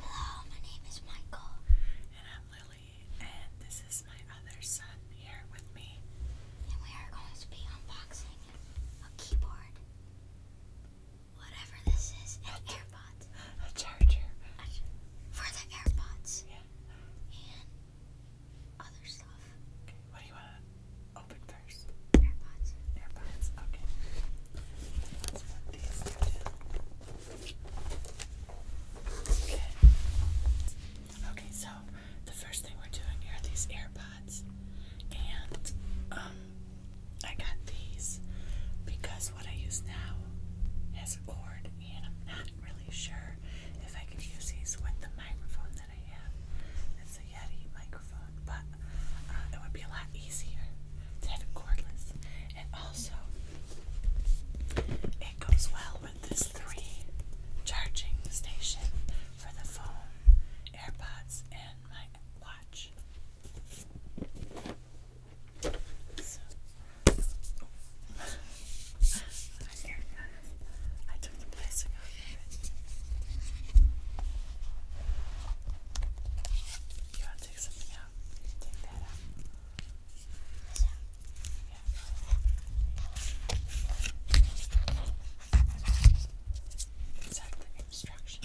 Hello, my name is Michael. And I'm Lily, and this is my other son here with me. And we are going to be unboxing a keyboard. Whatever this is, an AirPods. A charger. for the AirPods. Yeah. And other stuff. Okay, what do you want to open first? AirPods. AirPods, okay. Let's these Okay. Okay, so the first thing we're doing here are these AirPods. And um I got these because what I use now has a cord and I'm not really sure if I could use these with the microphone that I have. It's a Yeti microphone microphone, but uh, it would be a lot easier to have cordless. And also, it goes well with this three charging station for the phone, AirPods, and my watch. So, oh. I took the plastic off of it. You want to take something out? Take that out. Yeah. It's like the obstruction.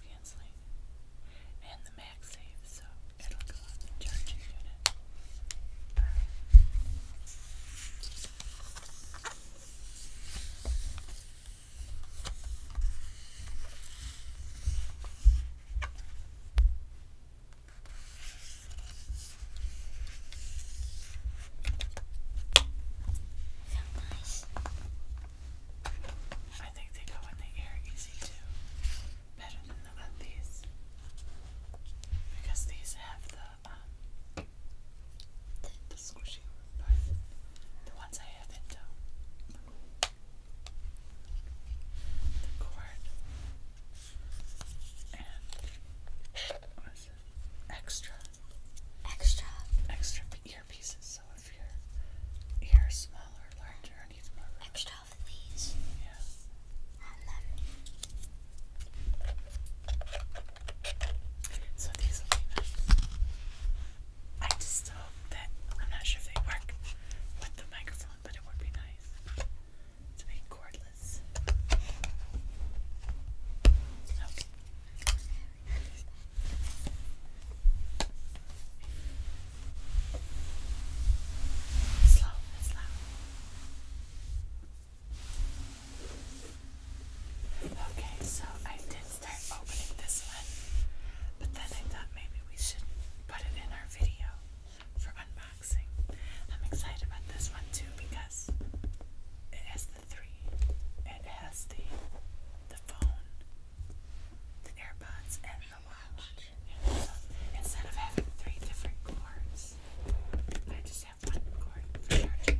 noise canceling and the MagSafe, so it'll go on the charging unit. So nice. I think they go in the air easy too. Better than the uh, these. Because these have the um the, squishy part. The ones I have in tow. The cord and what's it? Extra. Extra. Extra earpieces, if your ear smaller or larger, I need more room. Extra of these. Yeah. And then. So these will be I just hope that I'm not sure if they work with the microphone, but it would be nice to be cordless. Slow, slow. Okay, so I did start opening this one, but then I thought maybe we should put it in our video for unboxing. I'm excited about this one too because it has the three, it has the the phone, the AirPods and the watch. so instead of having three different cords, I just have one cord for charging.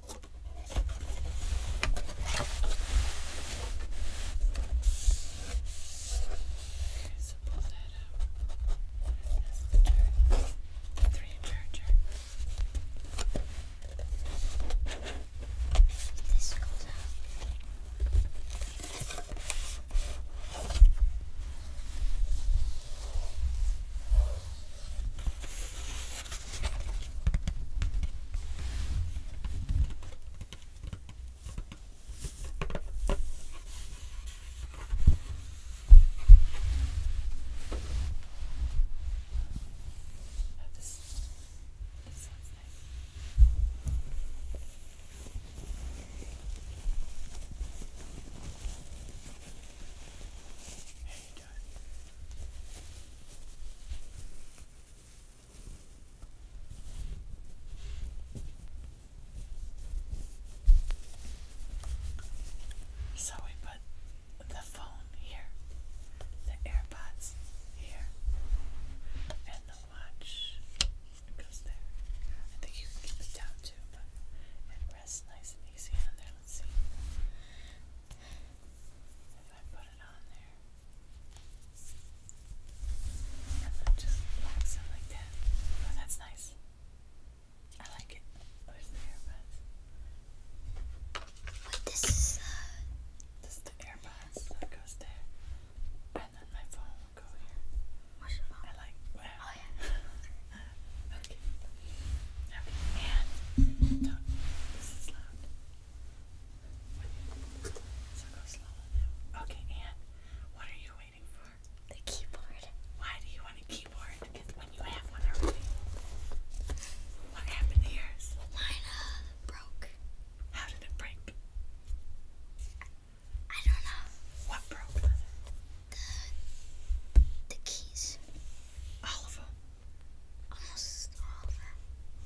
Okay, so pull that up. That's the turn. The three charger. This goes out. Okay, Oh, this, this sounds nice. Hey, Dad. So we put the phone here, the AirPods here, and the watch goes there. I think you can keep it down too, but it rests nice and easy on there. Let's see if I put it on there and then just wax it like that. Oh, that's nice. I like it. Where's the earbuds? What this is? Uh... This is the earbuds that goes there, and then my phone will go here. Where's your phone? I like. Oh yeah. okay. Okay. And Okay, Anne, what are you waiting for? The keyboard. Why do you want a keyboard? Because when you have one already. What happened to yours? Mine uh, broke. How did it break? I don't know. What broke? The, the keys. All Almost all of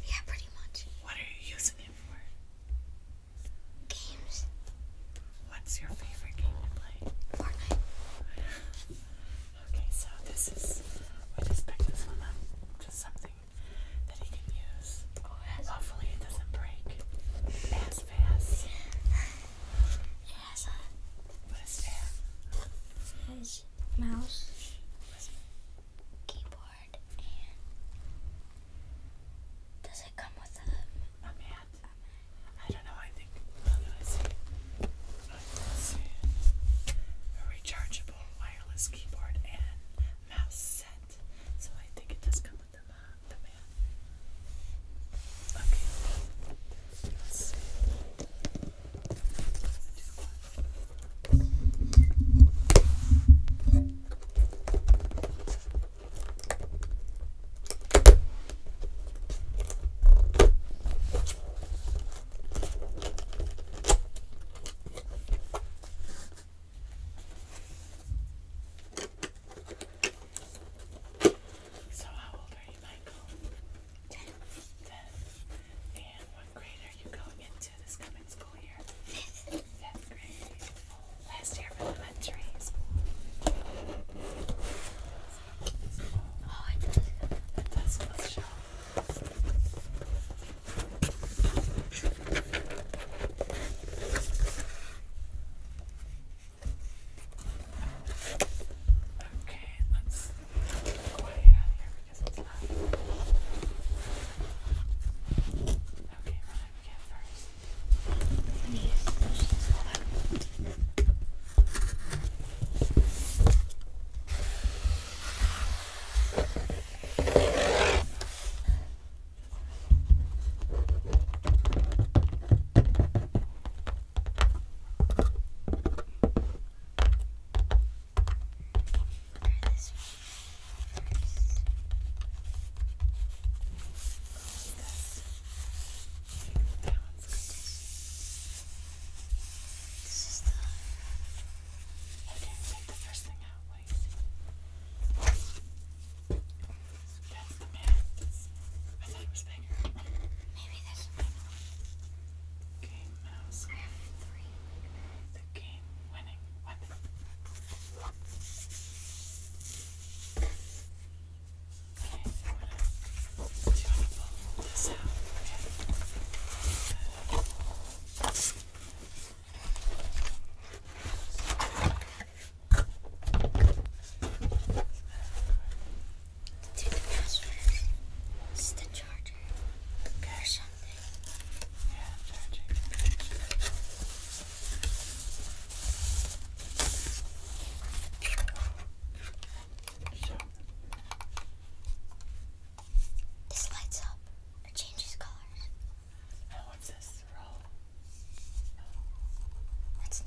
Yeah, pretty much. What are you using it for? Games. What's your favorite game to play? Fortnite. okay, so this is. We just picked this one up. Just something that he can use. Oh, Hopefully, it doesn't break as fast. has a. mouse, keyboard, and does it come with a? A mat. I don't know. I think. I'm see. I'm see. A rechargeable wireless keyboard and mouse set. So I think it does come with The mat. Okay. Let's see. So, how old are you, Michael? Fifth. And what grade are you going into this coming school year? Fifth. grade. Last year of elementary school. Oh, it does. It does feel Okay, let's go ahead out of here because it's not. Okay, run up again first. Let me push this all out. Okay this one first. This. That one's good. This is the. Okay, take the first thing out. Wait. That's the man. I thought it was bigger. Maybe that's the big one. Game mouse. I have three. The game winning weapon. Okay, I'm gonna, do you want to pull this out? Okay. Uh, Okay. It's the charger okay. something. Yeah, charging. This lights up or changes colors. Oh, what's this That's the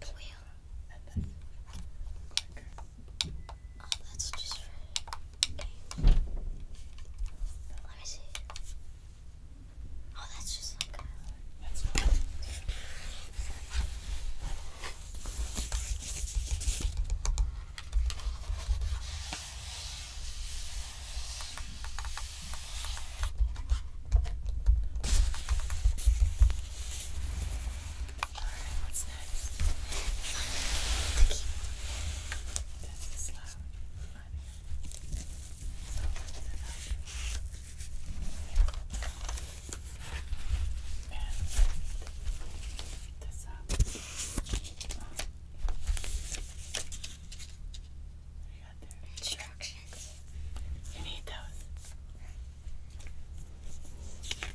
plan. Oh, that's just for games. Let me see. Oh, that's just like a... That's Alright, what's next? this is loud. So and this up. Um, here. Instructions. You need those. Okay.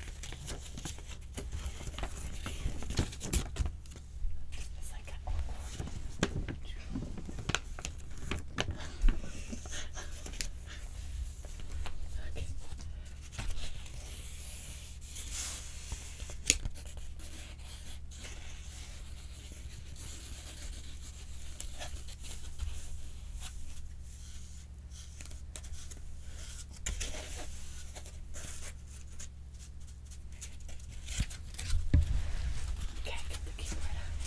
Can't get the key right out. Okay.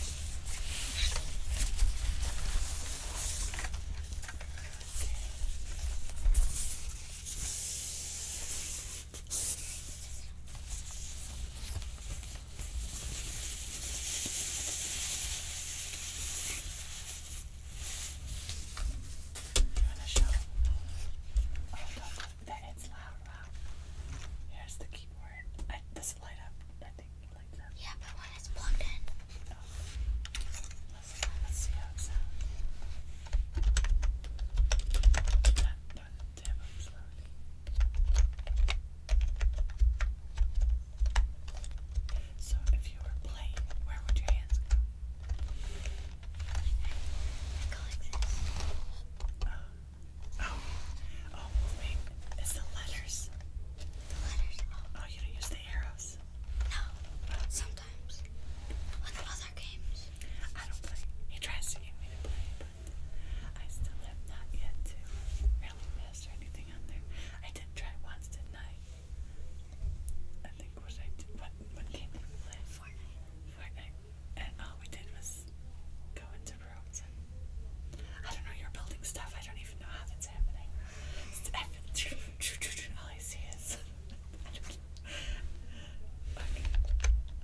Finish up. Oh, don't, that it's loud, wow. Here's the keyboard. I, does it light up? I think it lights up. Yeah, but when it's plugged in. Oh. Let's, let's see how it sounds. That, that, so, if you were playing, where would your hands go? Um, oh, oh, wait. It's the letters. The letters. Oh. oh, you don't use the arrows. No, sometimes. With other games. I don't play. He tries to get me to play, I still have not yet really mess or anything on there. I did try once, didn't I? I think what what, what came in play? Fortnite. Fortnite. And all we did was go into rooms I don't know, you're building stuff. I don't even know how that's happening. All I see is. I don't know. Okay.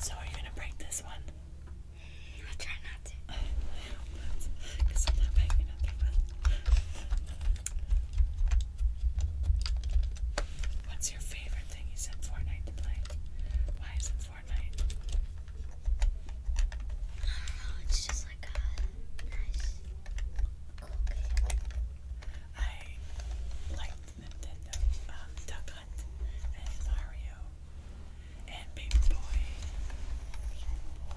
So are you gonna break this one? i try not to. Because I'm not What's your favorite thing you said Fortnite to play? Why is it Fortnite. I don't know, it's just like a nice, cool game. I like Nintendo, um, Duck Hunt, and Mario, and Paper Boy.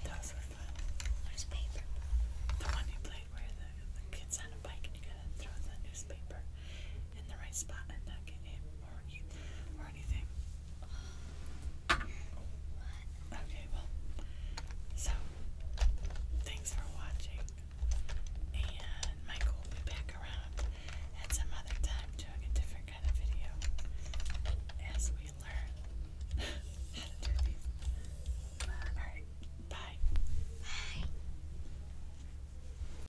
That was really fun. Where's Paper Boy? The one you played where the, the kid's on a bike and you gotta throw the newspaper in the right spot and not get hit or, or anything. Okay, well, so thanks for watching, and Michael will be back around at some other time doing a different kind of video as we learn how to do these. Alright, bye. Bye.